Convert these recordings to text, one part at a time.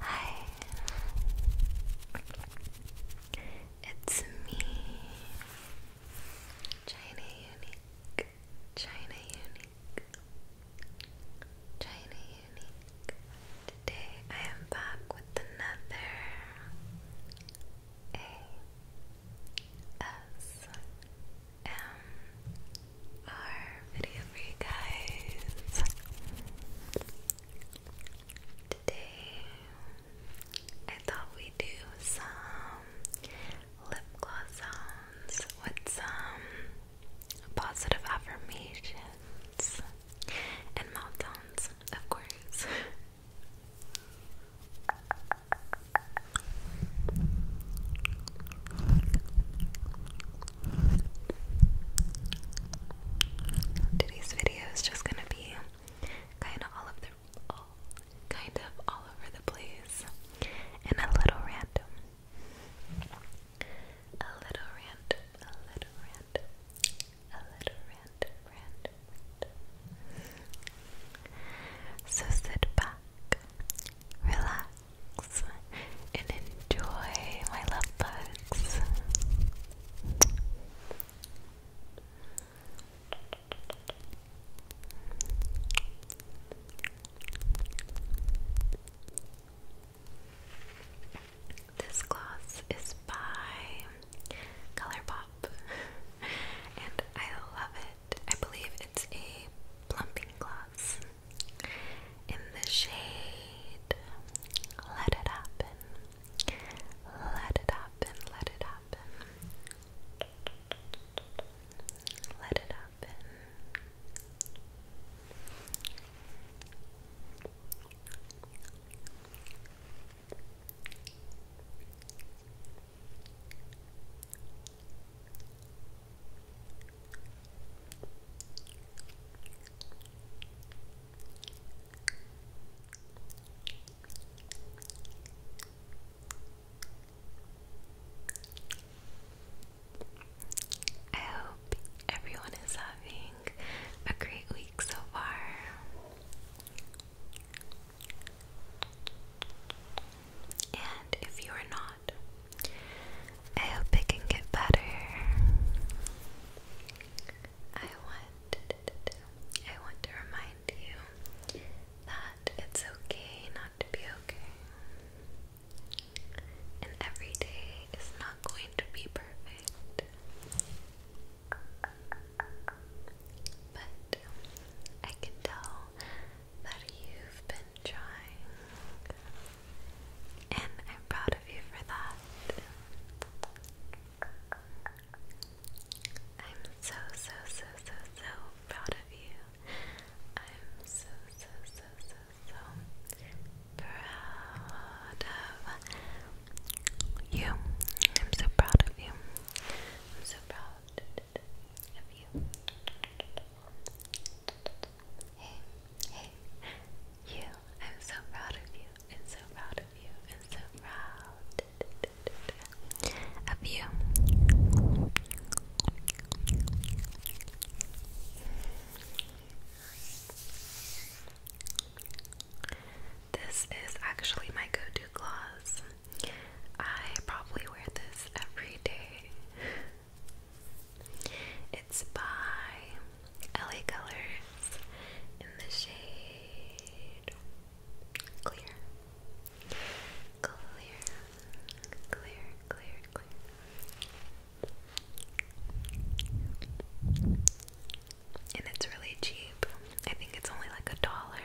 Hi. It's me. China Unique. China Unique. China Unique. Today I am back with another A S M R video for you guys. Today, I thought we do some lip gloss sounds with some positive affirmations and meltdowns, of course. Today's video video is just gonna be kind of all of the kind of all over the place and a little random. A little random, a little random, a little random, random, So sit back, relax, and enjoy my love bugs. This gloss is by Colourpop and I love it. I believe it's a plumping gloss in the shade Let It Happen. Let it happen, let it happen. Let it happen. Let I hope everyone is having a great week so far. And if you are not, I hope it can get better. I want I want to remind you that it's okay not to be okay. And every day is not going to be perfect. But I can tell that you've been trying. And I'm proud of you for that. I'm so, so, so, so, so proud of you. I'm so, so, so, so, so proud of you. I'm so proud of you. I'm so proud of you. Hey, hey, you. I'm so proud of you. I'm so proud of you. I'm so proud of you. This is actually my go-to gloss. I probably wear this every day. It's by LA Colors in the shade Clear. Clear. Clear, clear, clear. And it's really cheap. I think it's only like a dollar.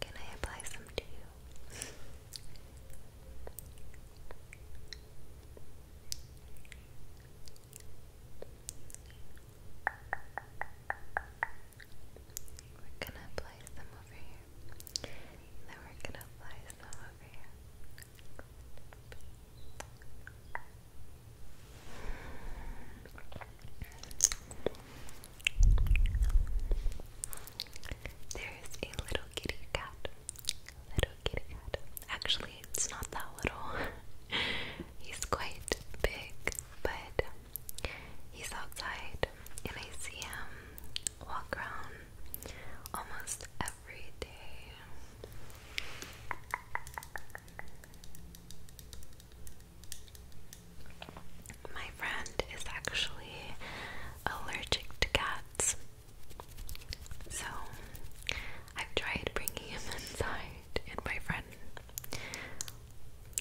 Can I apply some to you? We're gonna apply some over here. Then we're gonna apply some over here. There's a little kitty cat. Little kitty cat. Actually, it's not that little. he's quite big, but he's outside, and I see him walk around almost every day. My friend is actually allergic to cats, so i tried bringing him inside, and my friend,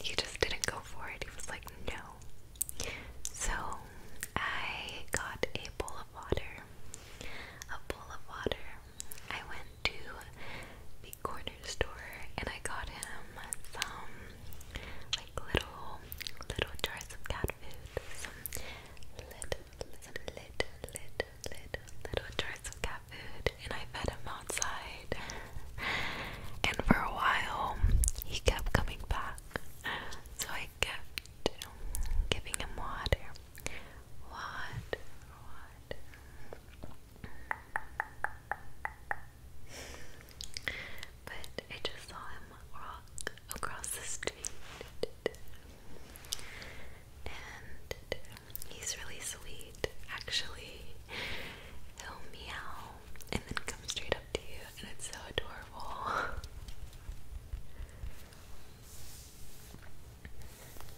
he just didn't go for it. He was like, no. So I got a bowl of water, a bowl of water I went to the corner store and I got him some like little little jars of cat food. Some little little little little little jars of cat food and I fed him outside. And for a while he kept coming back. So I kept giving him Water, water. But I just saw him walk across the street. And he's really sweet, actually. He'll meow and then come straight up to you, and it's so adorable.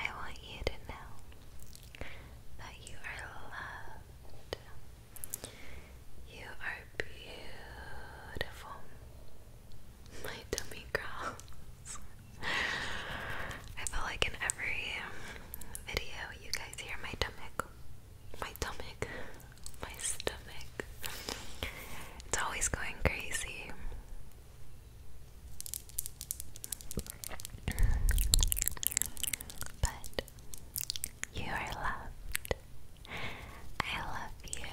I want you to know that you are loved. You are beautiful. My tummy growls. I feel like in every video you guys hear my stomach. My stomach. My stomach. It's always going crazy. But you are loved. I love you.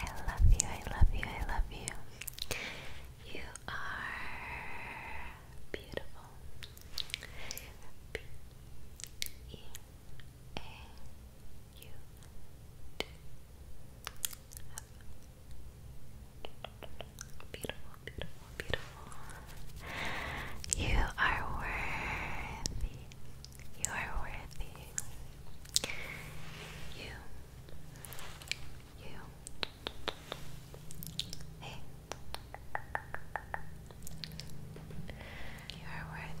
I love you. I love you. I love you. You are beautiful. B E A U D F Beautiful, beautiful, beautiful. You are worthy. You are worthy. You. You. Hey. You are worthy.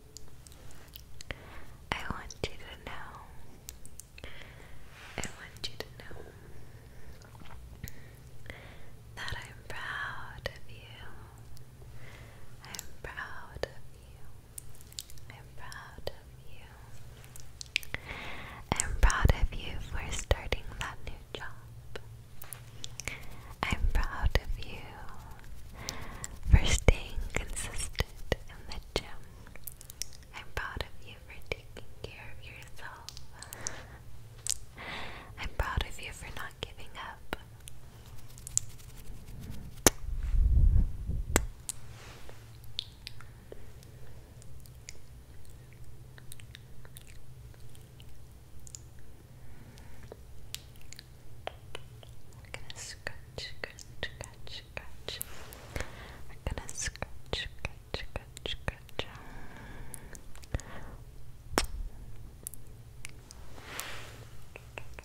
I want you to know, I want you to know that I'm proud of you. I'm proud of you. I'm proud of you. I'm proud of you for starting that new job. I'm proud of you for staying consistent in the that, um, I'm proud of you for taking care of yourself. I'm proud of you for not giving up. We're gonna scratch, scratch, scratch, scratch. We're gonna scratch, scratch, scratch, scratch.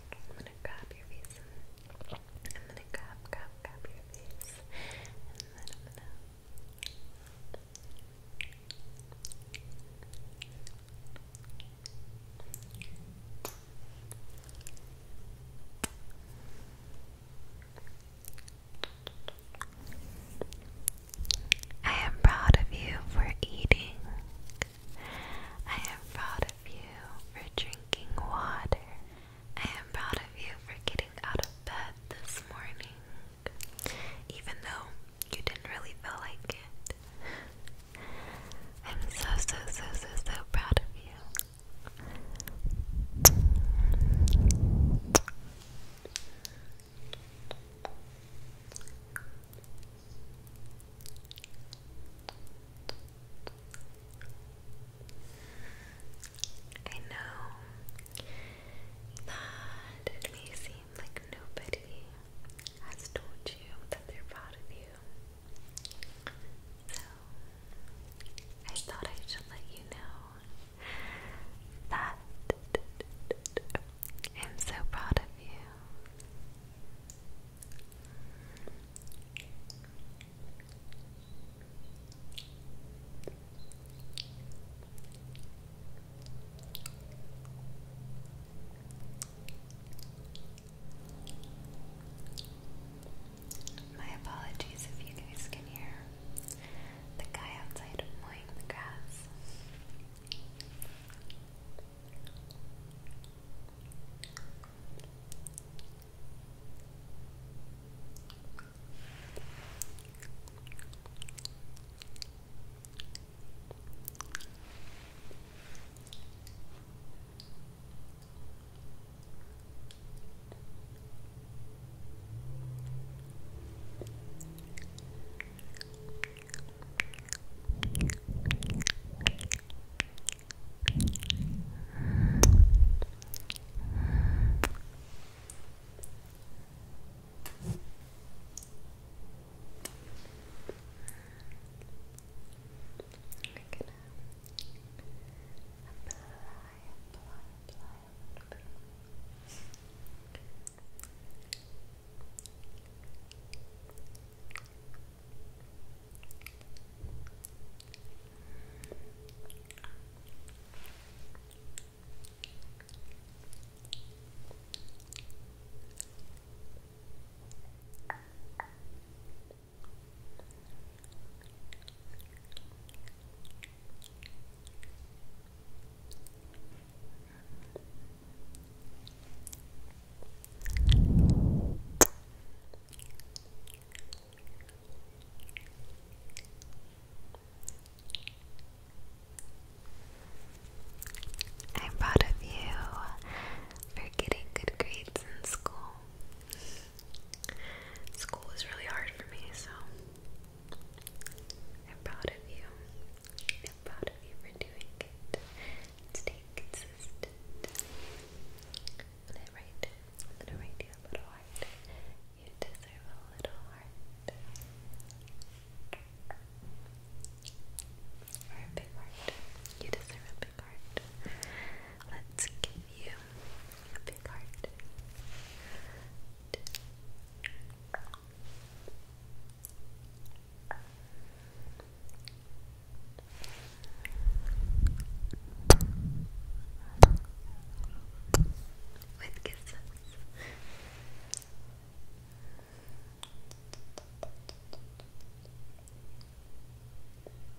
I'm gonna grab your face. I'm gonna grab, grab, grab your face. And then I'm gonna. Good. I am proud of you for eating. I am proud of you for drinking water. I am proud of you for getting out of bed this morning, even though you didn't really feel like it. I'm so, so, so, so, so proud of you. I know that it may seem like nobody has told you that they're proud of you. So, I thought I should let you know that I'm so proud of you. My apologies if you guys can hear the guy outside mowing the grass. We're gonna apply, apply a little bit Okay. I'm proud of you for getting good grades in school. School was really hard for me, so I'm proud of you. I'm proud of you for doing it. Stay consistent. I'm gonna write, I'm gonna write you a little heart. You deserve a little heart. a big heart. You deserve a big Let's give you a big heart. With kisses.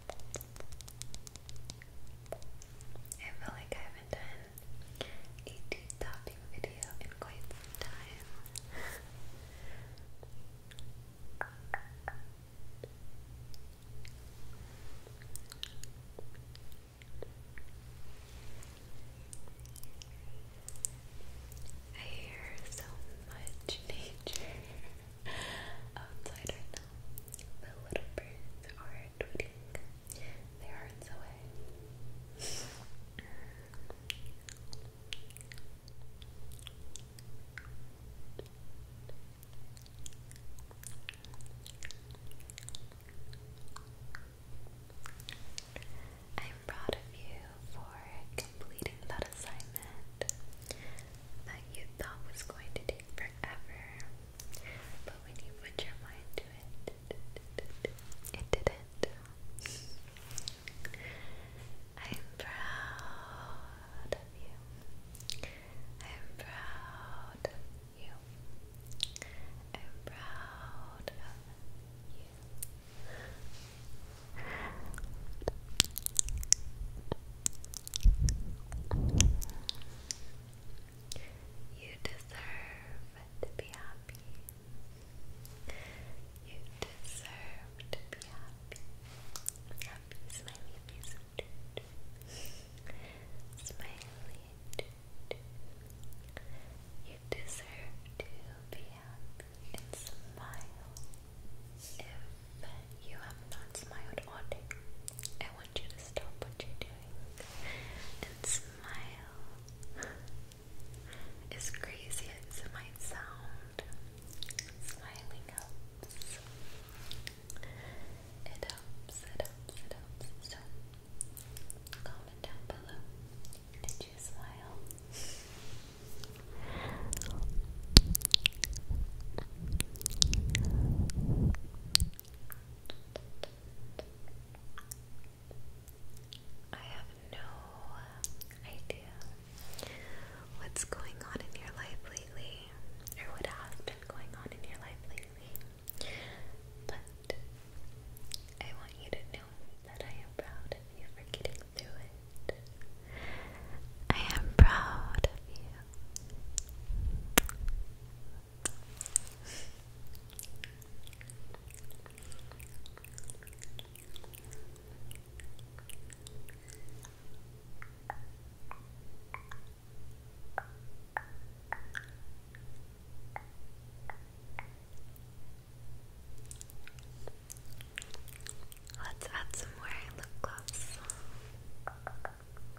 I feel like I haven't done a deep tapping video in quite some time. I hear so much nature outside right now. The little birds are I'm proud of you for completing that assignment that you thought was going to take forever. But when you put your mind to it, it didn't. I'm proud of you. I'm proud of you. I'm proud of you. i am proud of you i am proud of you you deserve to be happy. You deserve to be happy. Happy, smiley face. Smiley. You deserve to be happy and smile. If you have not smiled all day, want you to stop what you're doing and smile. As crazy as it might sound, smiling helps. It helps, it helps, it helps. comment down below. Did you smile? I have no idea what's going on in your life lately, or what has been going on in your life lately, but I want you to know that I am proud of you for getting through it. I am proud of you. Let's add some more lip gloss.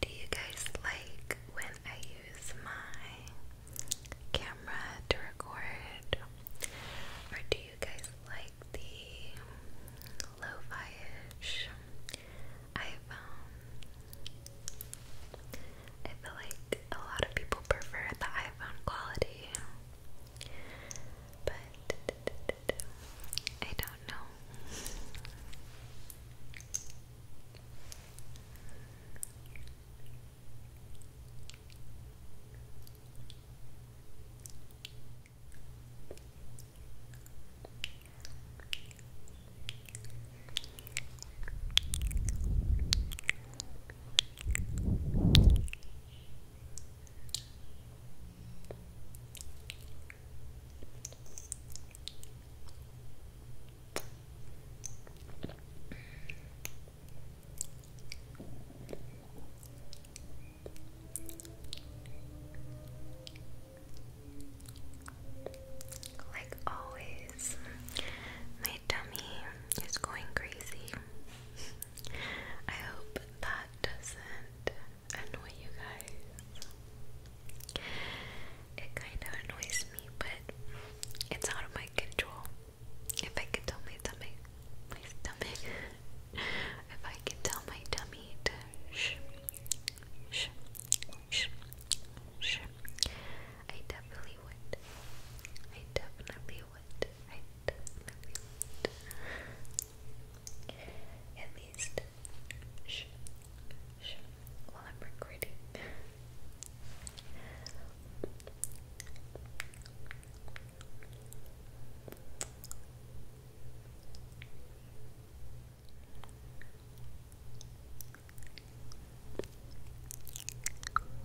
Do you guys like when I use my camera to record? Or do you guys like the lo fi ish iPhone? Um, I feel like a lot of people prefer the iPhone quality. But I don't know. Like always, my tummy is going crazy. I hope that doesn't annoy you guys. It kind of annoys me, but it's out of my control. If I could tell my tummy, my stomach, if I could tell my tummy to shh, shh, shh, shh, I definitely would. I definitely would, right? At least, while I'm recording.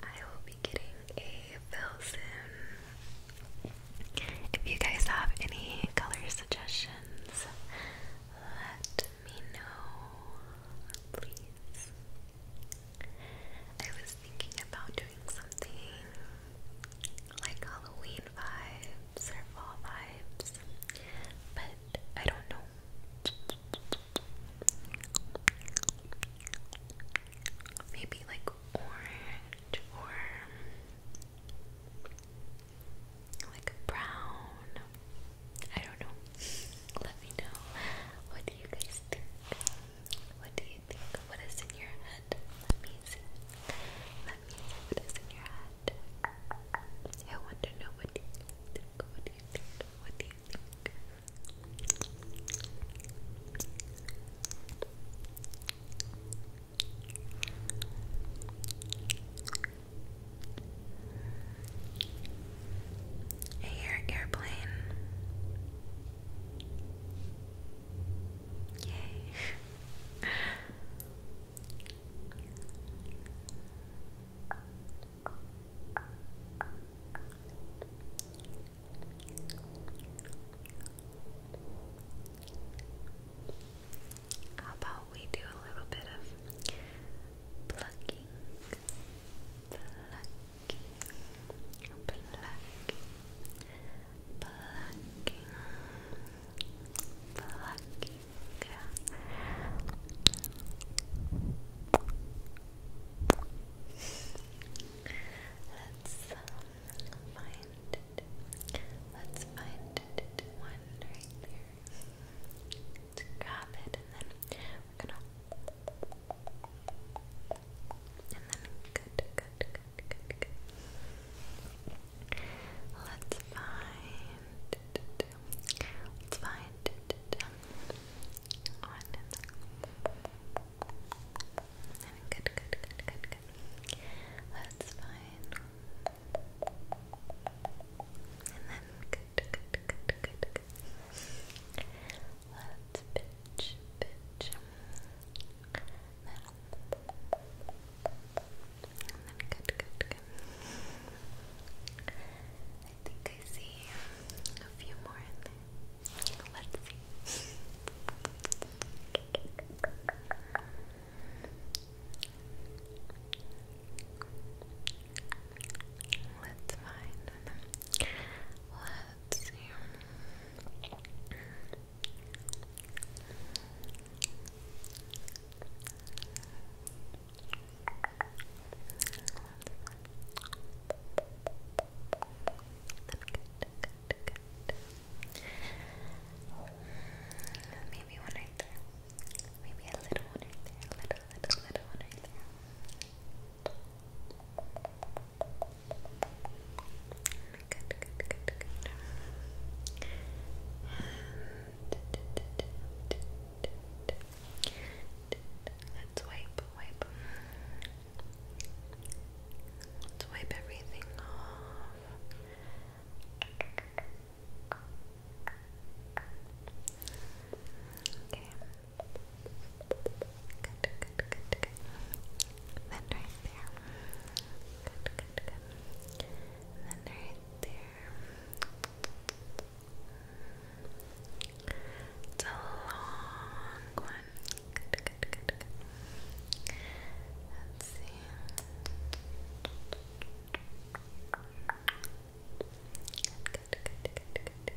I will be getting a fill If you guys have any color suggestions, let me know, please. I was thinking about doing something like Halloween vibes or vibes, but I don't know. Maybe like orange or like brown. I don't know. Let me know. What do you guys think? What do you think? What is in your head? head. Let me see. Let me see what is in your head. I want what do you think? What do you think? What do you think? I airplane. Yay. How about we do a little bit of plucking, plucking, plucking, plucking, plucking. Let's find it. Let's find it. One right there. grab it, and then we're gonna. And then good, good, good good, good, good. Let's find. Let's find one. Good, good, good, good, good. Let's find. And then good, good, good, good, good. Let's pitch, pitch then, and good, good, good. I think I see a few more in there. Let's see. Let's find Let's Maybe one right there. Maybe a little one right there. A little, little, little one right there. Good, good, let's wipe, wipe. Let's wipe everything off. Okay. Good, good, good, good. Then right there. Good, good, good. then right there. It's a long one. Good, good, good, good. Let's see. Good, good, good, good, good. Good,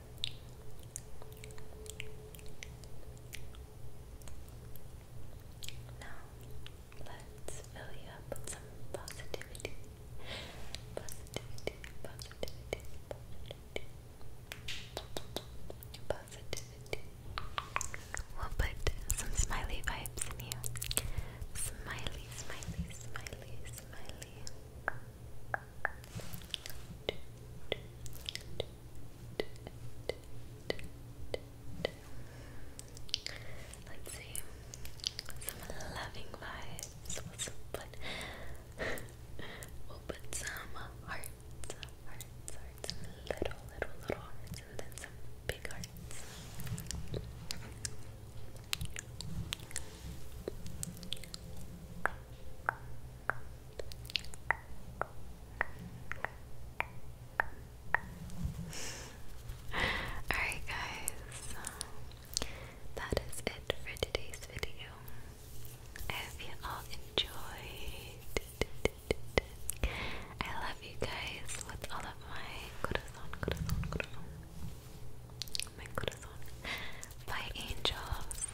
Now, let's fill you up with some positivity. Positivity, positivity, positivity. Positivity. We'll put some smiley vibes in you. Smiley, smiley, smiley, smiley. Let's see. Some loving vibes. we'll put some hearts, little, little, little hearts, and then some big hearts. Alright, guys, that is it for today's video. I hope you all enjoyed. I love you guys with all of my corazon, corazon, corazon. My corazon. Bye, angels.